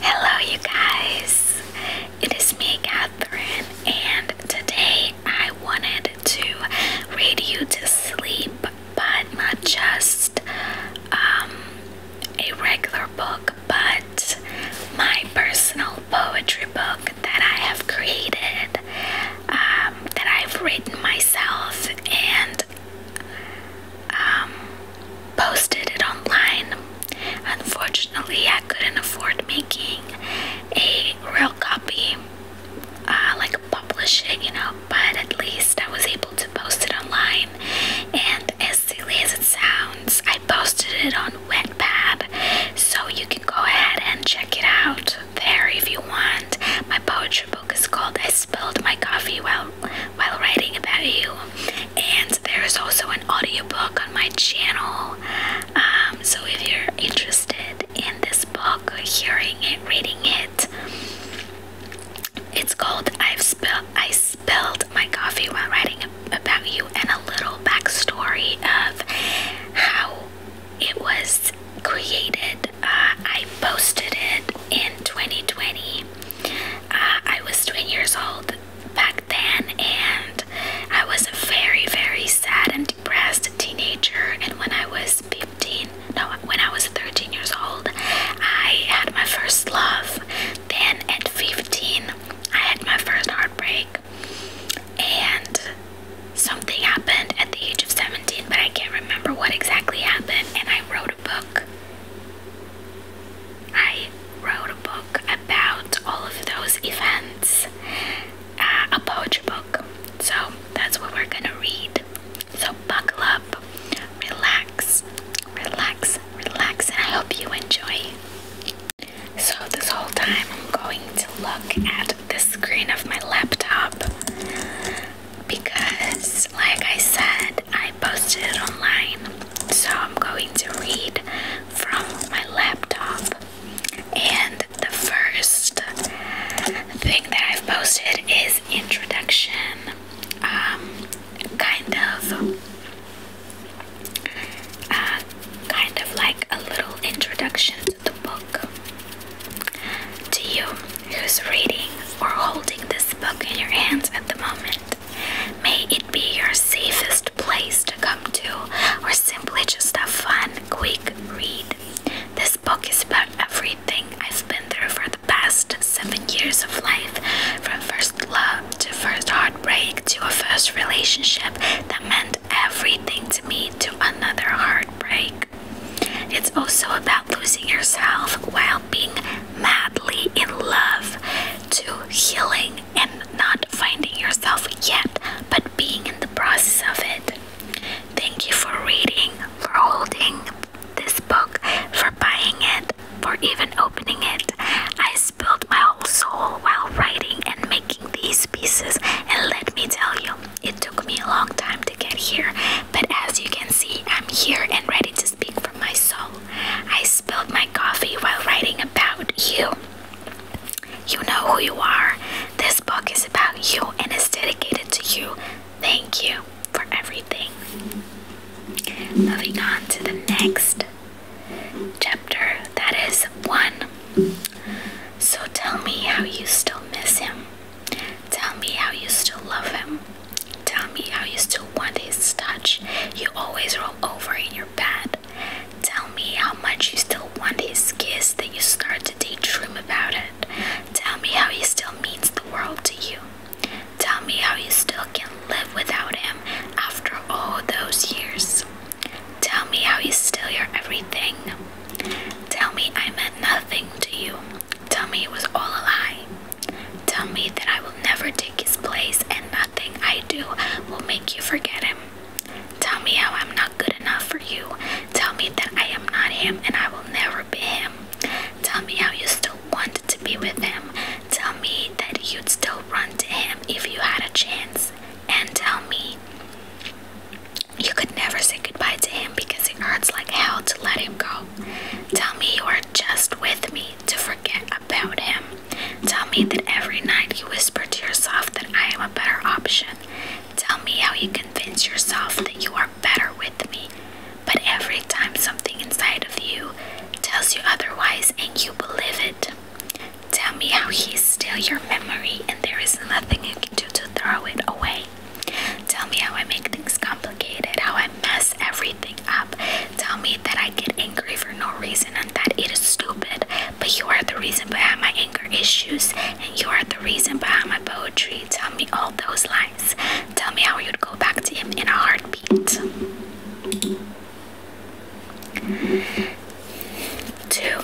Hello, you guys. It is me, Catherine, and today I wanted to read you to sleep, but not just um, a regular book, but my personal poetry book that I have created, um, that I've written myself, and um, posted it online. Unfortunately, I couldn't afford making a real copy, uh, like publish it, you know, but at least I was able to post it online. And as silly as it sounds, I posted it on Wet Pad. so you can go ahead and check it out there if you want. My poetry book is called I Spilled My Coffee While while writing about you. And there is also an audiobook on my channel. Um, so if you're interested in this book, hearing it, reading it, it's called I've spilled I spilled my coffee while writing about you and a little backstory of how it was created. Uh, I posted it in 2020 I was 20 years old back then, and I was a very, very sad and depressed teenager. And when I was 15, no, when I was 13 years old, I had my first love. Then at 15, I had my first heartbreak, and something happened at the age of 17, but I can't remember what exactly happened. And I wrote a book. I wrote a book about all of those events, uh, a poetry book. So that's what we're gonna read. So buckle up, relax, relax, relax, and I hope you enjoy. So this whole time I'm going to look at the screen of my laptop because, like I said, I posted it online, so I'm going to read from my laptop. And the first thing that I've posted is introduction, um, kind of, uh, kind of like a little introduction to the book. To you who's reading or holding this book in your hands at the moment, May it be your safest place to come to, or simply just a fun, quick read. This book is about everything I've been through for the past seven years of life from first love to first heartbreak to a first relationship that meant everything to me to another heartbreak. It's also about losing yourself while being madly in love to healing and not finding yourself yet, but being in the process of it. Thank you for reading, for holding this book, for buying it, for even opening it. I spilled my whole soul while writing and making these pieces, and let me tell you, it took me a long time to get here, but as you can see, I'm here and ready to speak from my soul. I spilled my coffee while writing about you. You know who you are. This book is about you and is dedicated to you. Thank you for everything. Moving on to the next chapter that is one. So tell me how you still miss him. Tell me how you still love him. Tell me how you still want his touch. You always roll over in your bed. Tell me how much you still want his kiss that you start to daydream about it. Tell me how he still means the world to you. Tell me how you still can live without him after all those years. Tell me how he's still your everything. Tell me I meant nothing to you. Tell me it was all a lie. Tell me that I will never take his place and nothing I do will make you forget him. Tell me how I'm not good enough for you. Tell me that I am not him and I will never be him. Tell me how you still want to be with him. Tell me that you'd still run to him if you had a chance. And tell me you could never say goodbye to him because it hurts like hell to let him go. Tell me you are just with me to forget about him. Tell me that every night you whisper to yourself that I am a better option. Tell me how you convince yourself that you are better with me. But every time something inside of you tells you otherwise and you believe it, tell me how he is still your memory and there is nothing you can do to throw it away. Tell me how I make things complicated, how I mess everything up. Tell me that I get angry for no reason and that it is stupid, but you are the reason behind my anger issues and you are the reason behind my poetry. Tell me all those lies. Tell me how you'd go back to him in a heartbeat. Two,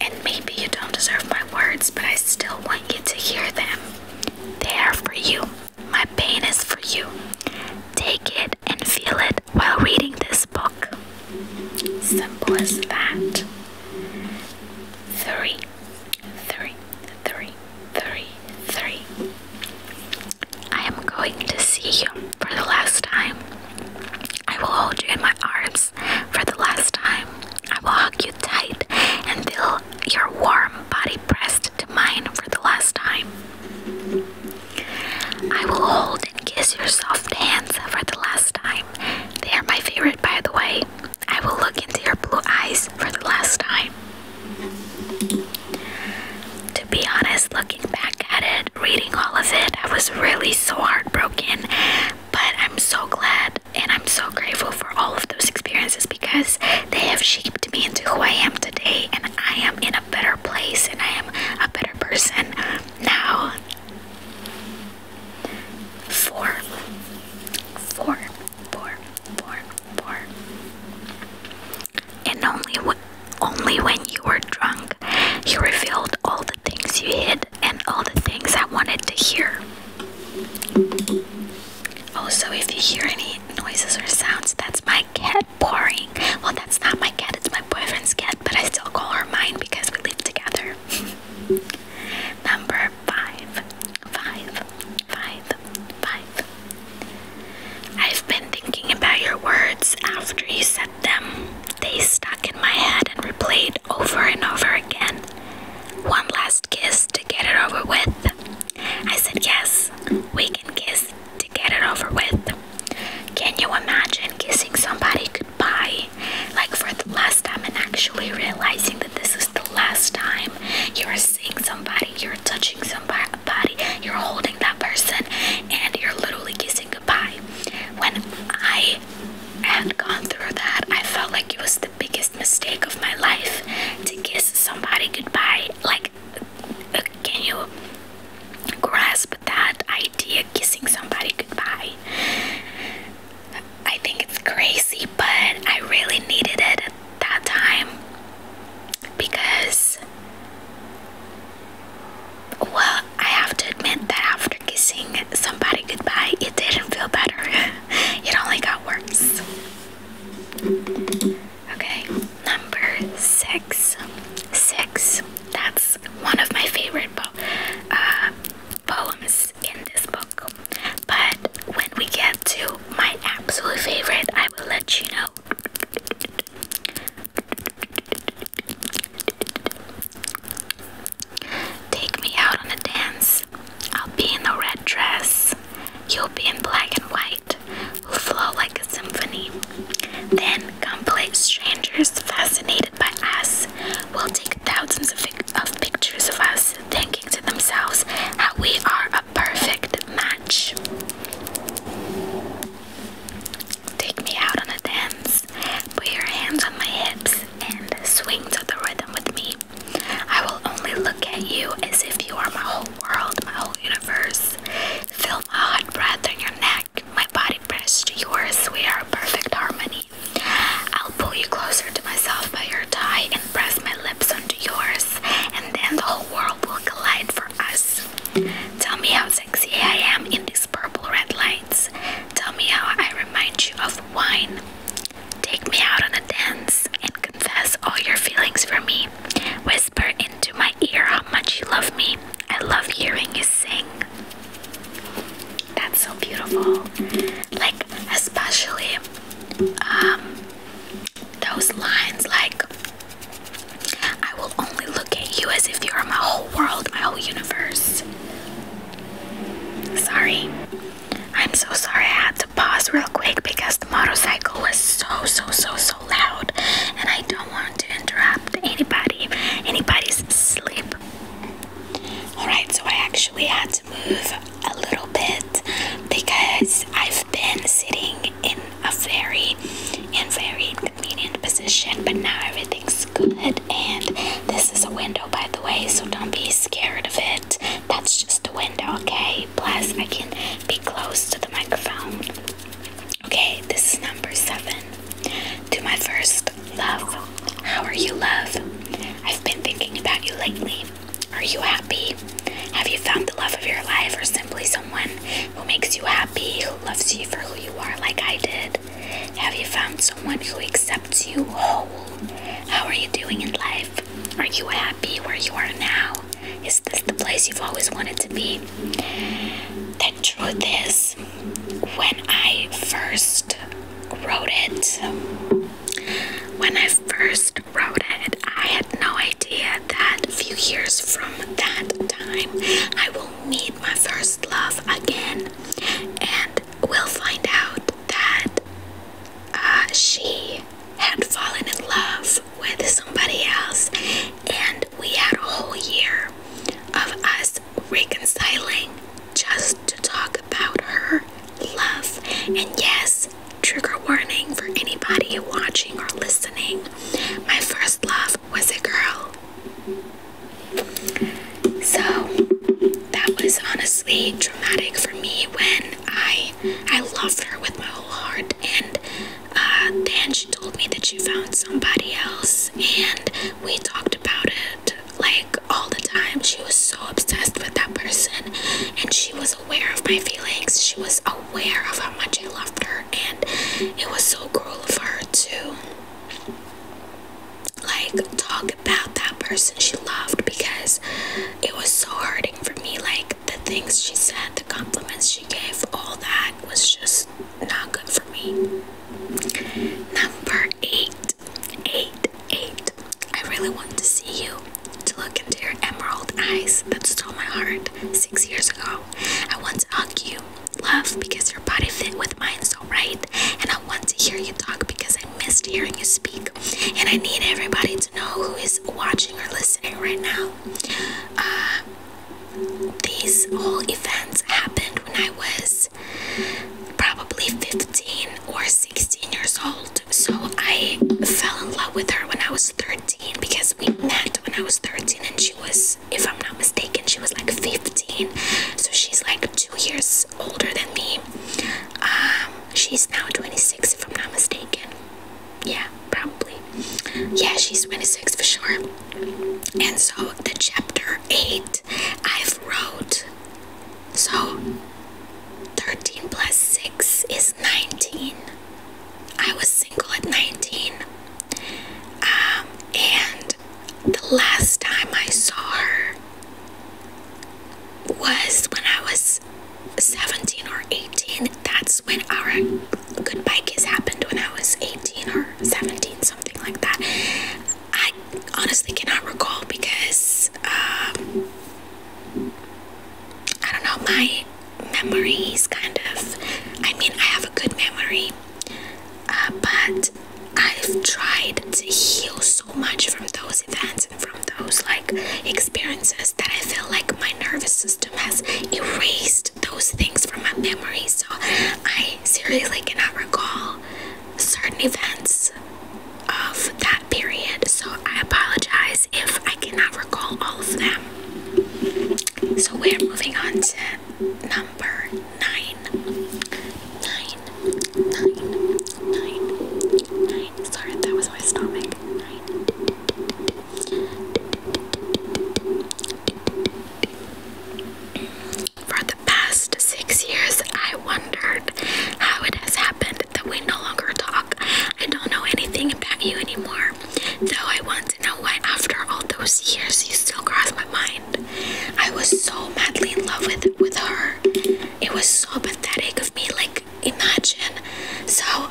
and maybe you don't deserve my words, but I still want you to hear them. They are for you. My pain is for you. Take it and feel it while reading this book. Simple as that. Three, three, three, three, three. I am going to see you for the last time. I will hold you in my arms for the last time. I will hug you tight until your warm body pressed to mine for the last time. I will hold and kiss your soft hands for the last time. They are my favorite, by the way. I will look into your blue eyes for the last time. To be honest, looking back at it, reading all of it, I was really so heartbroken. But I'm so glad and I'm so grateful for all of those experiences because they have shaped me into who I am today, and I am in a better place and I am a better person now. Four, four, four, four, four. And only, only when you were drunk, you revealed all the things you hid and all the things I wanted to hear. Also, if you hear any noises or sounds. That's my cat pouring. Well, that's not my cat, it's my boyfriend's cat, but I still call her mine because we live together. Number five, five, five, five. I've been thinking about your words after you said them. They stuck in my head and replayed over and over again. One last kiss to get it over with. I said, Yes, we can kiss to get it over with. Can you imagine kissing somebody goodbye? Like for the last time, and actually realizing that this is the last time you're seeing somebody, you're touching somebody, you're holding that person, and you're literally kissing goodbye. When I had gone through that, I felt like it was biggest mistake of my life to kiss somebody goodbye. Like, uh, can you grasp that idea? Kissing somebody goodbye. I think it's crazy, but I really needed it at that time because, well, I have to admit that after kissing somebody goodbye, it didn't feel better, it only got worse. Okay, number six. Six. That's one of my favorite uh, poems in this book. But when we get to my absolute favorite, I will let you know. Take me out on a dance I'll be in the red dress. You'll be in black and white. We'll flow like a symphony. Then, complete strangers fascinated by us will take thousands of, of pictures of us, thinking to themselves how we are a perfect match. Take me out on a dance. Put your hands on my hips and swing to the rhythm with me. I will only look at you as if you are my whole world, my whole universe. Feel my hot breath on your neck, my body pressed to yours. We are perfect harmony. I'll pull you closer to myself by your tie and press my lips onto yours, and then the whole world will collide for us. Tell me how sexy I am in these purple red lights. Tell me how I remind you of wine. Take me out on a dance and confess all your feelings for me. Whisper into my ear how much you love me. I love hearing you sing. That's so beautiful. Like, especially um, those lines like, I will only look at you as if you are my whole world, my whole universe. Sorry. I'm so sorry I had to pause real quick because the motorcycle was so so so so loud and I don't want to interrupt anybody anybody's sleep. Alright, so I actually had to move a little bit because I've been sitting in a very in very inconvenient position but now everything's good and this is a window by the way so don't be scared of it that's just the window, okay? Plus, I can be close to the microphone. Okay, this is number seven. To my first love. How are you, love? I've been thinking about you lately. Are you happy? Have you found the love of your life or simply someone who makes you happy, who loves you for who you are like I did? Have you found someone who accepts you whole? How are you doing in life? Are you happy where you are now? Is this the place you've always wanted to be? The truth is, when I first wrote it, when I first wrote it, I had no idea that a few years from that time I will meet my first love again and we will find out that uh, she had fallen in love with somebody else, and we had a whole year of us reconciling just to talk about her love. And yes, trigger warning for anybody watching or listening my first love was a girl. So that was honestly traumatic for me when I I loved her with my whole heart, and uh, then she told me that she found somebody else, and we talked about it like all the time. She was so obsessed with that person, and she was aware of my feelings. She was aware of how much I loved her, and it was so cruel of her to like talk about that person she loved because it was so hurting for me. Like the things she said, the compliments she gave, all that was just not good for me. Number eight, eight, eight. I really want to see you, to look into your emerald eyes that stole my heart six years ago. I want to hug you, love, because your body fit with mine so right, and I want to hear you talk because I missed hearing you speak. And I need everybody to know who is watching or listening right now. Uh, these whole events happened when I was probably 15 or 16 years old. So I fell in love with her when I was 13 because we met when I was 13 and she was, if I'm not mistaken, she was like 15. So she's like two years older than me. Um, She's now 26, if I'm not mistaken. Yeah, probably. Yeah, she's 26 for sure. And so the chapter 8 I've wrote. So 13 plus 6 is 19. I was single at 19. Um, and the last time I saw her was when I was 17 or 18. That's when our good bike has happened when I was 18 or 17, something like that. I honestly cannot recall because um, I don't know, my memory is kind of, I mean, I have a good memory, uh, but I've tried to heal so much from those events and from those like experiences that I feel like my nervous system has erased those things from my memory. So I seriously cannot recall certain events of that period. So I apologize if I cannot recall all of them. So we're moving on to number nine. Nine nine, nine, nine. Sorry, that was my stomach. Nine. For the past six years, I wondered how it has happened that we no longer talk. I don't know anything about you anymore, though I want to know why, after all those years, you still cross my mind. I was so madly in love with with her it was so pathetic of me like imagine so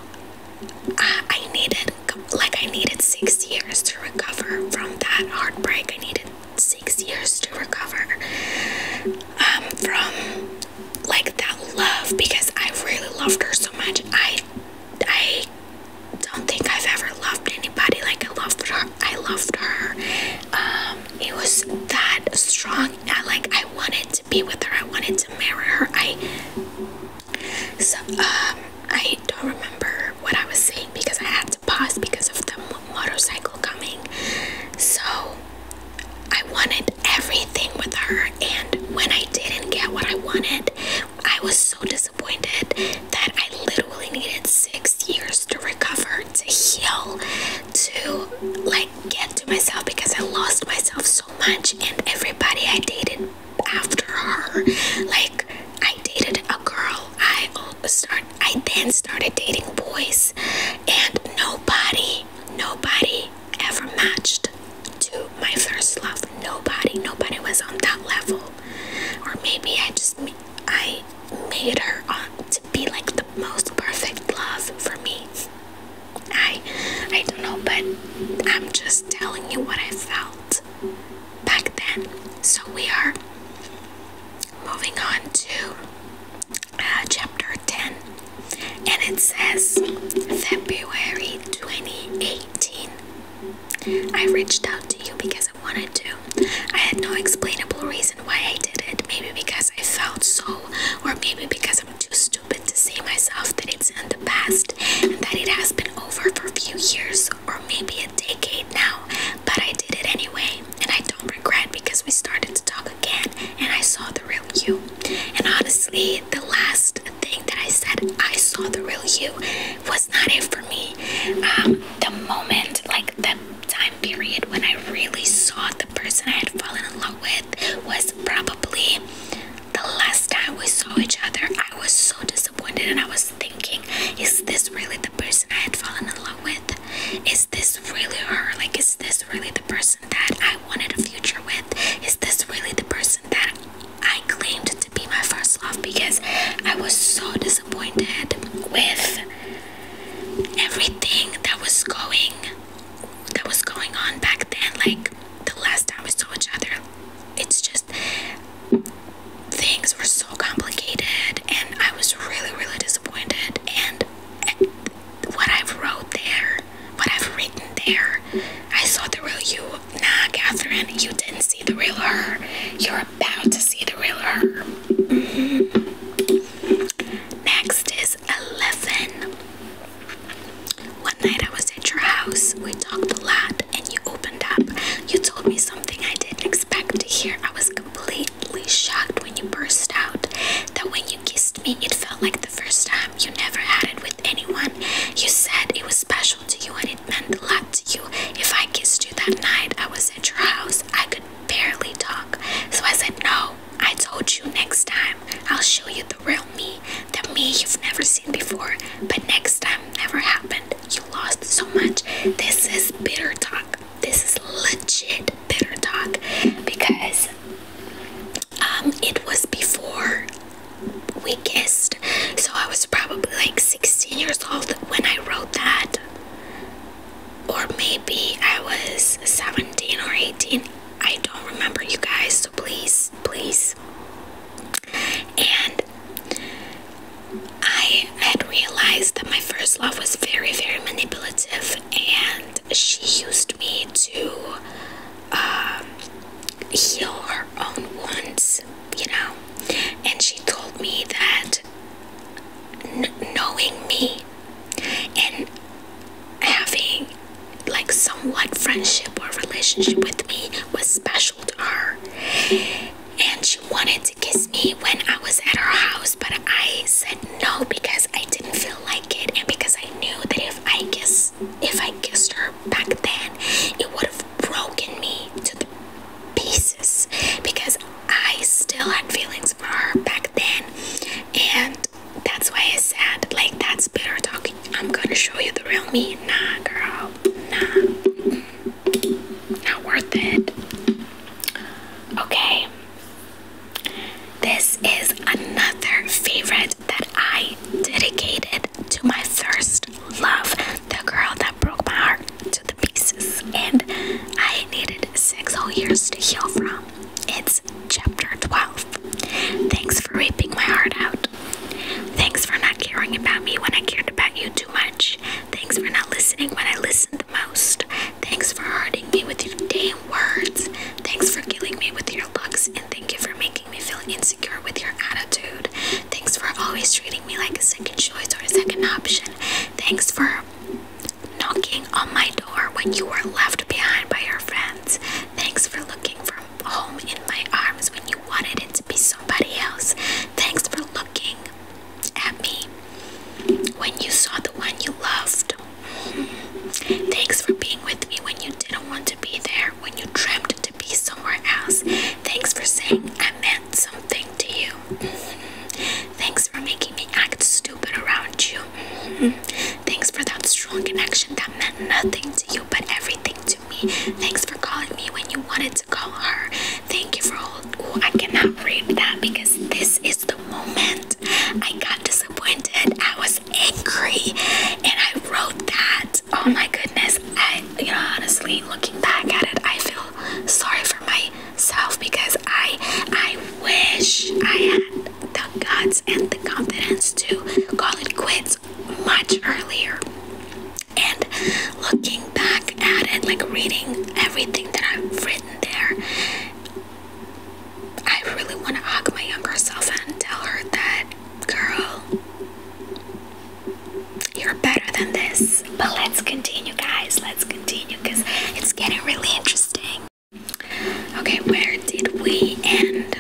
I needed like I needed six years to recover from that heartbreak I needed six years to recover um, from like that love because I really loved her so much I I don't think I've ever loved anybody like I loved her I loved her um, it was that strong I like I wanted to be with her I wanted to marry her I so um I don't remember what I was saying because I had to pause because of the motorcycle coming so I wanted everything with her and when I didn't get what I wanted I was so disappointed that I literally needed six years to recover to heal to like get to myself because I lost myself so much and everybody I dated after her like I dated a girl I start I then started dating boys and nobody nobody ever matched to my first love nobody nobody was on that level or maybe I just I made her on be like the most perfect love for me. I I don't know, but I'm just telling you what I felt back then. So we are moving on to uh, chapter 10 and it says February 2018. I reached out to you because I wanted to. I had no explainable reason why I did it. Maybe because I felt so, or maybe because I'm too stupid to see myself that it's in the past and that it has been over for a few years or maybe a decade now. But I did it anyway, and I don't regret because we started to talk again and I saw the real you. And honestly, the last thing that I said, I saw the real you, was not it for me. Um, the moment, like the time period when I really saw the person I had fallen in love with was probably the last time we saw each other. I was so disappointed and I was thinking, is this really the person I had fallen in love with? Is this really her? Like, is this really the person that I wanted a future with? Is this really the person that I claimed to be my first love? Because I was so disappointed with everything that was going that was going on back then, like the last time we saw each other. It's just things were so complicated and I was really really disappointed and what i wrote there, what I've written there, I saw the real you. Nah, Catherine, you didn't see the real her. You're about to see the real her. Next is 11. One night I was at your house. We talked a lot and you opened up. You told me something I didn't expect to hear. I was completely shocked when you burst out that when you kissed me, it felt like the first time you never had it with anyone. You said it was special to you and it meant a lot to you. If I kissed you that night, I was at your house. I could barely talk. So I said, No, I told you next time I'll show you the real me, the me you've never seen before. But next time never happened. You lost so much. This is bitter talk. This is legit bitter talk because um, it was before we kissed. So I was probably like 16 years old when I wrote that or maybe I was 17 or 18. I don't remember you guys, so please, please. And I had realized that my first love was very, very manipulative, and she used me to um, heal her own wounds, you know. And she told me that knowing me and having like somewhat friendship or relationship with me was special to her and she wanted to kiss me when i was at her house but i said no because i didn't feel like it and because i knew that if i kiss if i kissed her back then it would have broken me to the pieces because i still had feelings back then and that's why I said like that's bitter talking. I'm gonna show you the real me. Nah girl, nah. Not worth it. Okay. This is another favorite that I dedicated to my first love. The girl that broke my heart. To pieces, and I needed six whole years to heal from. It's chapter 12. Thanks for reaping my heart out. Thanks for not caring about me when I cared about you too much. Thanks for not listening when I listened the most. Thanks for hurting me with your damn words. Thanks for killing me with your looks, and thank you for making me feel insecure with your attitude. Thanks for always treating me like a second choice or a second option. Thanks for knocking on my door when you were left behind by your friends. Thanks for looking from home in my arms when you wanted it to be somebody else. Thanks for looking at me when you saw the one you loved. Thanks for being with me when you didn't want to be there, when you dreamt to be somewhere else. Thanks for saying I meant something to you Thanks for making me act stupid around you. Thanks for that strong connection that meant nothing to you but everything to me. Thanks for calling me when you wanted to call her. Thank you for all. Oh, I cannot read that because this is the moment I got disappointed. I was angry and I wrote that. Oh my goodness. I, honestly, looking back at it, I feel sorry for my self because I I wish I had the guts and the confidence to call it quits much earlier. And looking back at it, like reading everything that I've written there, I really want to hug my younger self and tell her that, girl, you're better than this but let's continue, guys. Let's continue because it's getting really interesting. Okay, where did we end?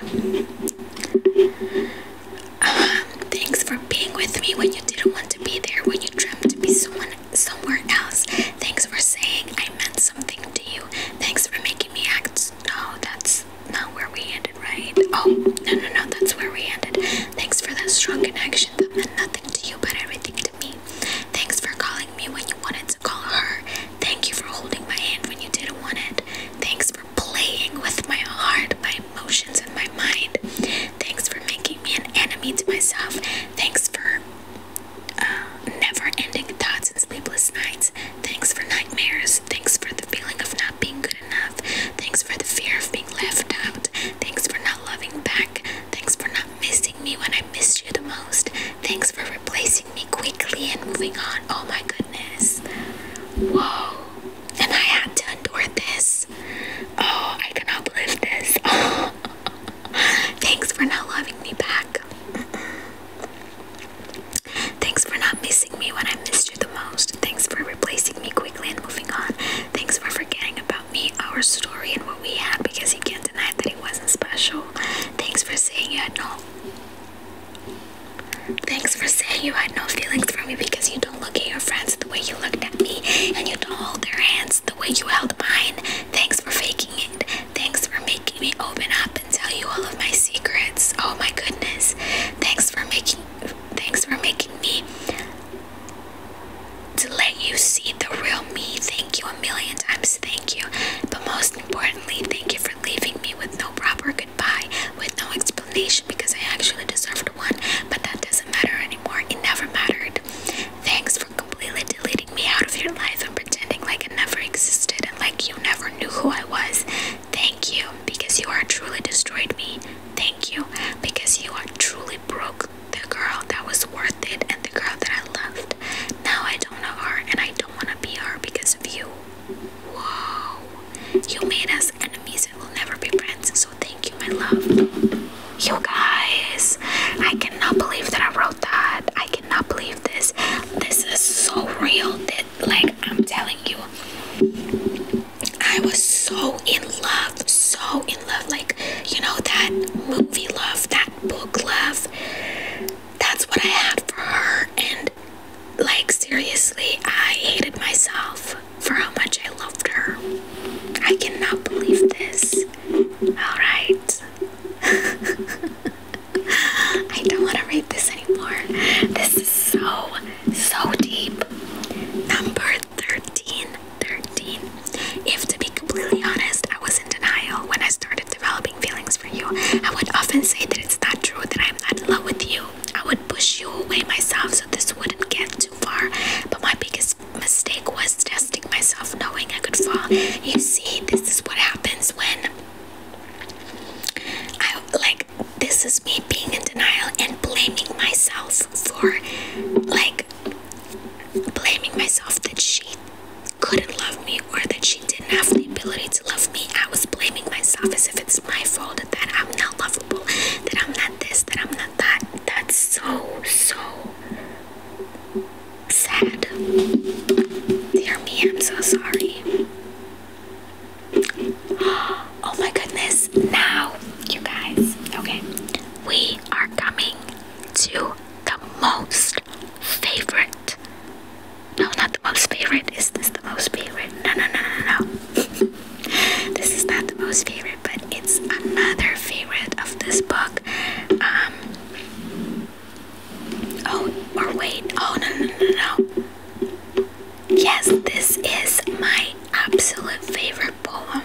Um, thanks for being with me when you didn't want to be there, when you dreamt to be someone somewhere else. Thanks for saying I meant something to you. Thanks for making me act. No, that's not where we ended, right? Oh, no, no, no, that's where we ended. Thanks for that strong connection that meant nothing to you but everything to me. Thanks for calling me when you wanted to call her. Thank you for holding my hand when you didn't want it. Thanks for playing with my heart, my emotions, and my mind. Thanks for making me an enemy to myself. Thanks for uh, never ending thoughts and sleepless nights. Thanks for nightmares. Thanks for the feeling of not being good enough. Thanks for the fear of being left out. Thanks for not loving back. Thanks for missing me when I missed you the most. Thanks for replacing me quickly and moving on. Oh my goodness. Whoa. And I had to endure this. Oh, I cannot believe this. Thanks for not loving me back. Thanks for not missing me when I missed you the most. Thanks for replacing me quickly and moving on. Thanks for forgetting about me our story and what we had because you can't deny that it wasn't special. Thanks for saying you had no Thanks for saying you had no feelings for me because you don't look at your friends the way you looked at me and you don't hold their hands the way you held mine. Thanks for faking it. Thanks for making me open up and tell you all of my secrets. Oh my goodness. Thanks for making thanks for making me to let you see the real me. Thank you a million times. Thank you. But most importantly, thank you for leaving me with no proper goodbye, with no explanation because I actually deserved one, but that doesn't matter anymore. It never mattered. Thanks for completely deleting me out of your life and pretending like I never existed and like you never knew who I was. Thank you because you are truly destroyed me. Thank you because you are truly broke the girl that was worth it and the girl that I loved. Now I don't know her and I don't want to be her because of you. Whoa. You made us enemies and we'll never be friends. So thank you, my love. You guys, I cannot believe that I wrote that. I cannot believe this. This is so real. That, like, I'm telling you, I was so in love, so in love, like you know, that movie love, that book love. That's what I had for her, and like seriously, I hated myself for how much I loved her. I cannot believe this. Alright. I don't want to read this anymore. This is so, so deep. Number 13, 13. If to be completely honest, I was in denial when I started developing feelings for you. I would often say that it's not true that I'm not in love with you. I would push you away myself so this wouldn't get too far. But my biggest mistake was testing myself knowing I could fall. You see, this is what happens when I like this is me being in denial and blaming myself for like blaming myself that she couldn't love me or that she didn't have the ability to love me. I was blaming myself as if it's my fault that I'm not lovable, that I'm not this, that I'm not that. That's so, so sad. Dear me, I'm so sorry. Oh my goodness, now, you guys, okay we are coming to the most favorite. No, not the most favorite. Is this the most favorite? No, no, no, no, no. this is not the most favorite, but it's another favorite of this book. Um. Oh, or wait. Oh, no, no, no, no. Yes, this is my absolute favorite poem.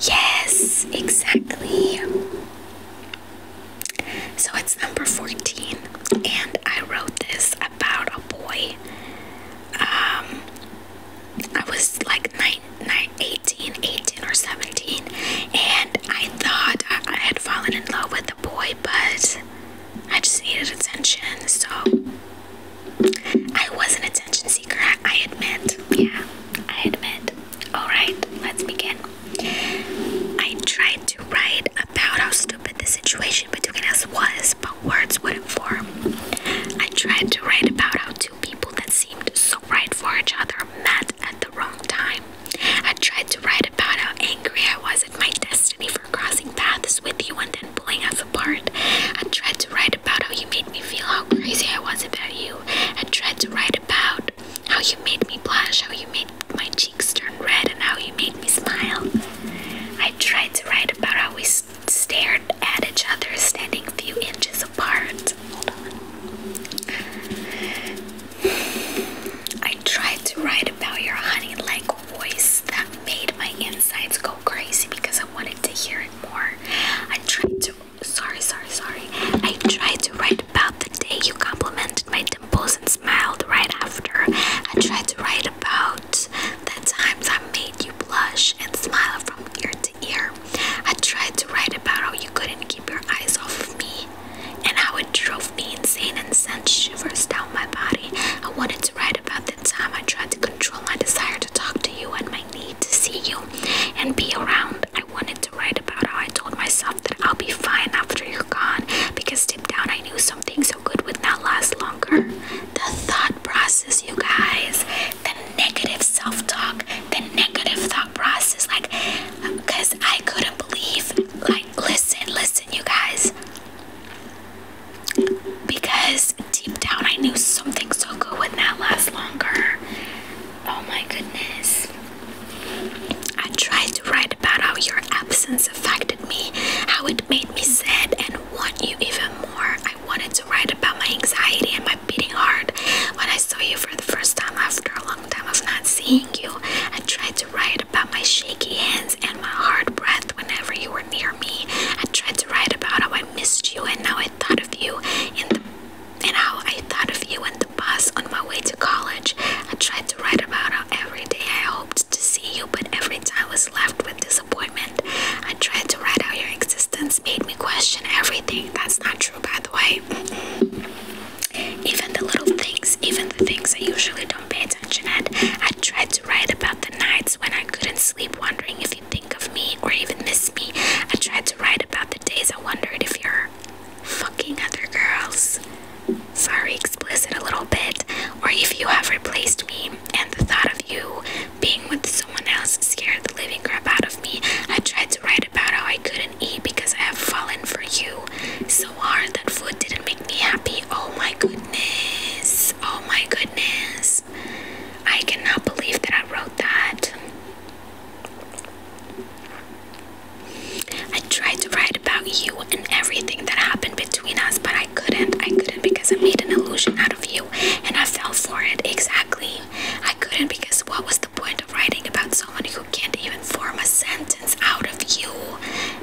Yes, exactly. So it's number 14, and I wrote this about a boy. Um, I was like nine, nine, 18, or 17, and I thought I, I had fallen in love with the boy, but I just needed attention, so I was an attention seeker, I admit. Yeah, I admit. Alright, let's begin. I tried to write about how stupid the situation between us was, but words wouldn't form. I tried to write about how two people that seemed so right for each other met at the wrong time. I tried to write about how angry I was at my destiny for crossing paths with you and I tried to write about how you made me feel how crazy I was about you. I tried to write about how you made me blush, how you made my cheeks turn red, and how you made me smile. I tried to write about how we stared at each other standing a few inches apart. Hold on. I tried to write about your honey like voice that made my insides go crazy because I wanted to hear it more. I tried to sorry, sorry, sorry. I tried to write about the day you complimented my dimples and smiled right after. I tried to write about the times I made you blush and smile from ear to ear. I tried to write about how you couldn't keep your eyes off of me and how it drove me insane and sent shivers down my body. I wanted to write about the time I tried to control my desire to talk to you and my need to see you and be around. I wanted to write about how I told myself that I'll be fine after you're gone because deep down I knew something so good would not last longer. The thought process, you guys, the negative self talk, the negative thought process, like, I couldn't believe, like, listen, listen, you guys because deep down I knew something so good would not last longer. Oh my goodness. I tried to write about how your absence affected me, how it made me sad and want you even more. I wanted to write about my anxiety and my beating heart when I saw you for the first time after a long time of not seeing you. I tried to write about my shaky hands and my hard breath whenever you were near me. I tried to write about how I missed you and how I thought of you and how I thought of you in the bus on my way to college. I tried to write about how every day I hoped to see you, but every time I was left with disappointment. I tried to write how your existence made me question everything. That's not true, by the way. Even the little things, even the things I usually don't pay attention at. I tried to write about the nights when I couldn't sleep, wondering if you think think of me or even miss me. I tried to write about the days I wondered if you're fucking other girls. Sorry, explicit a little bit. Or if you have replaced me, and the thought of you being with someone else scared the living crap out of me. I tried to write about how I couldn't eat because I have fallen for you so hard that food didn't make me happy. Oh my goodness. Oh my goodness. I cannot believe that I wrote that. I tried to write about you and everything that happened between us, but I couldn't. I couldn't because I made an illusion out of you and I fell for it. Exactly. I couldn't because what was the point of writing about someone who can't even form a sentence out of you?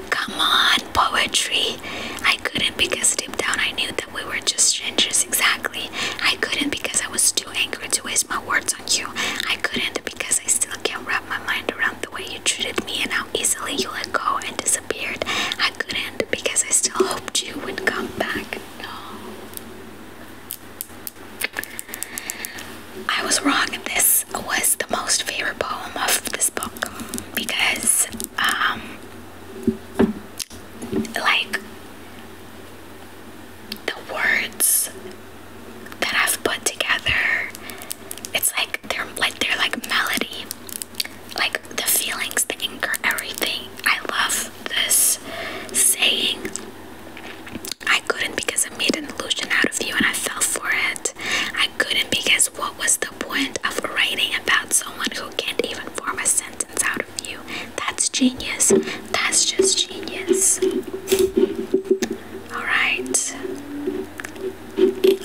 Come on, poetry. I couldn't because deep down I knew that we were just strangers exactly. I couldn't because I was too angry to waste my words on you. I couldn't because I still can't wrap my mind around the way you treated me and how easily you let go and disappeared. I couldn't because I still hoped you would come back. No. I was wrong. This was the most favorite poem of this book because um like the words that I've put together it's like they're like they're like melody like the feelings the anger everything I love this saying I couldn't because I made an illusion out of you and I fell for it I couldn't because what was the the point of writing about someone who can't even form a sentence out of you. That's genius. That's just genius. Alright.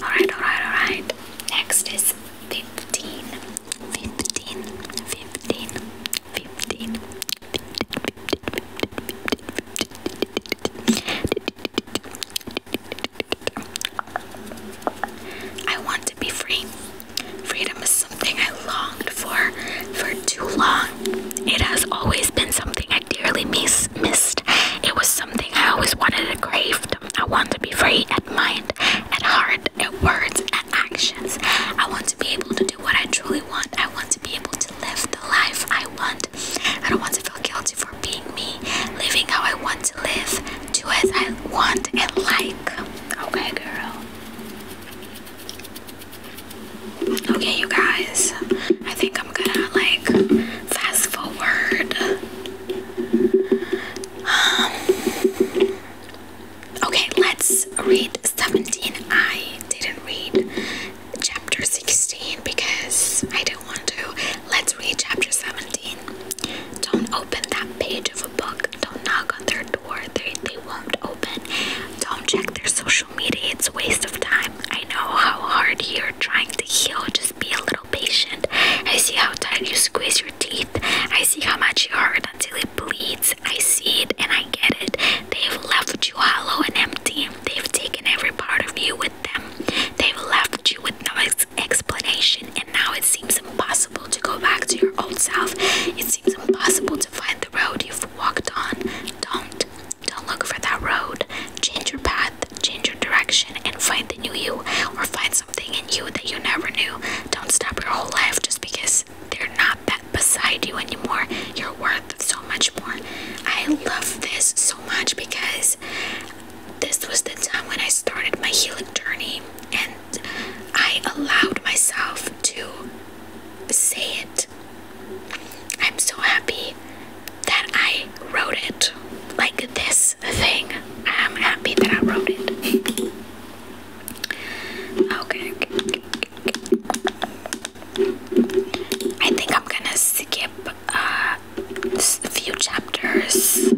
Alright, alright, alright. Next is 15. 15. 15. 15. 15. 15. I want to be free. Freedom is something I longed for for too long. It has always been something I dearly miss, missed. It was something I always wanted and craved. I want to be free at mind, at heart, at words, at actions. I want to be able to do what I truly want. I want to be able to live the life I want. I don't want to feel guilty for being me, living how I want to live, do as I want in life. Okay, girl. Okay, you guys. I think I'm gonna like fast forward. Um, okay, let's read 17. I didn't read chapter 16 because I didn't want to. Let's read chapter 17. Don't open that page of a book. Don't knock on their door. They, they won't open. Don't check their social media. It's a waste of time. I know how hard you're trying to heal. Just be a little patient. I see how tight you squeeze your teeth. I see how much you hurt until it bleeds. I see it and I get it. They've left you hollow and empty. They've taken every part of you with them. They've left you with no explanation, and now it seems impossible to go back to your old self. It seems impossible to find the road you've walked on. Don't. Don't look for that road. Change your path, change your direction, and find the new you, or find something in you that you never knew. Don't stop your whole life just because they're not that beside you anymore. You're worth so much more. I love this so much because this was the time when I started my healing journey and I allowed myself to say it. I'm so happy that I wrote it. Like this thing. I'm happy that I wrote it. okay. I think I'm gonna skip uh, a few chapters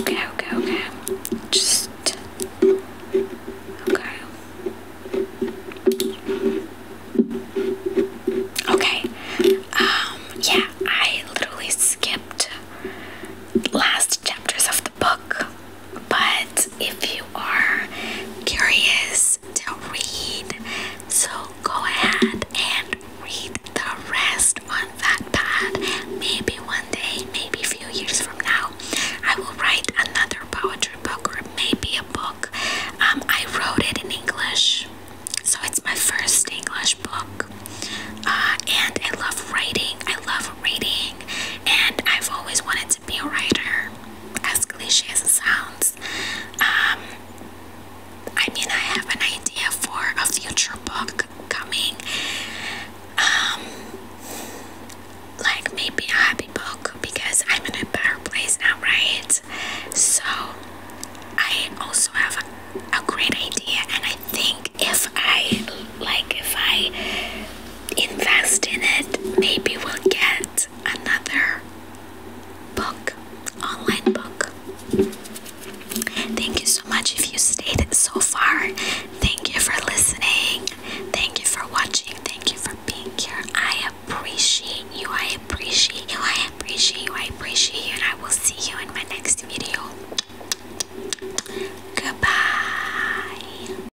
Okay, okay, okay. Just okay. Okay. Um, yeah, I literally skipped last chapters of the book but if you are curious to read, so go ahead and read the rest on that Wattpad. Maybe one day, maybe a few years from now, I will write another poetry book or maybe a book. Um, I wrote it in English, so it's my first English book. Uh, and I love writing, I love reading, and I've always wanted to be a writer as cliche as it sounds. Um, I mean, I have an idea for a future book coming. Um, like maybe a happy book because I'm in a better place now, right? So I also have a, a great idea, and I think if I like, if I invest in it, maybe we'll get another book, online book. Thank you so much if you stayed so far. Thank you for listening. Thank you for watching. Thank you for being here. I appreciate you. I appreciate you. I appreciate you. I appreciate you. And I will see you in my next video. Goodbye.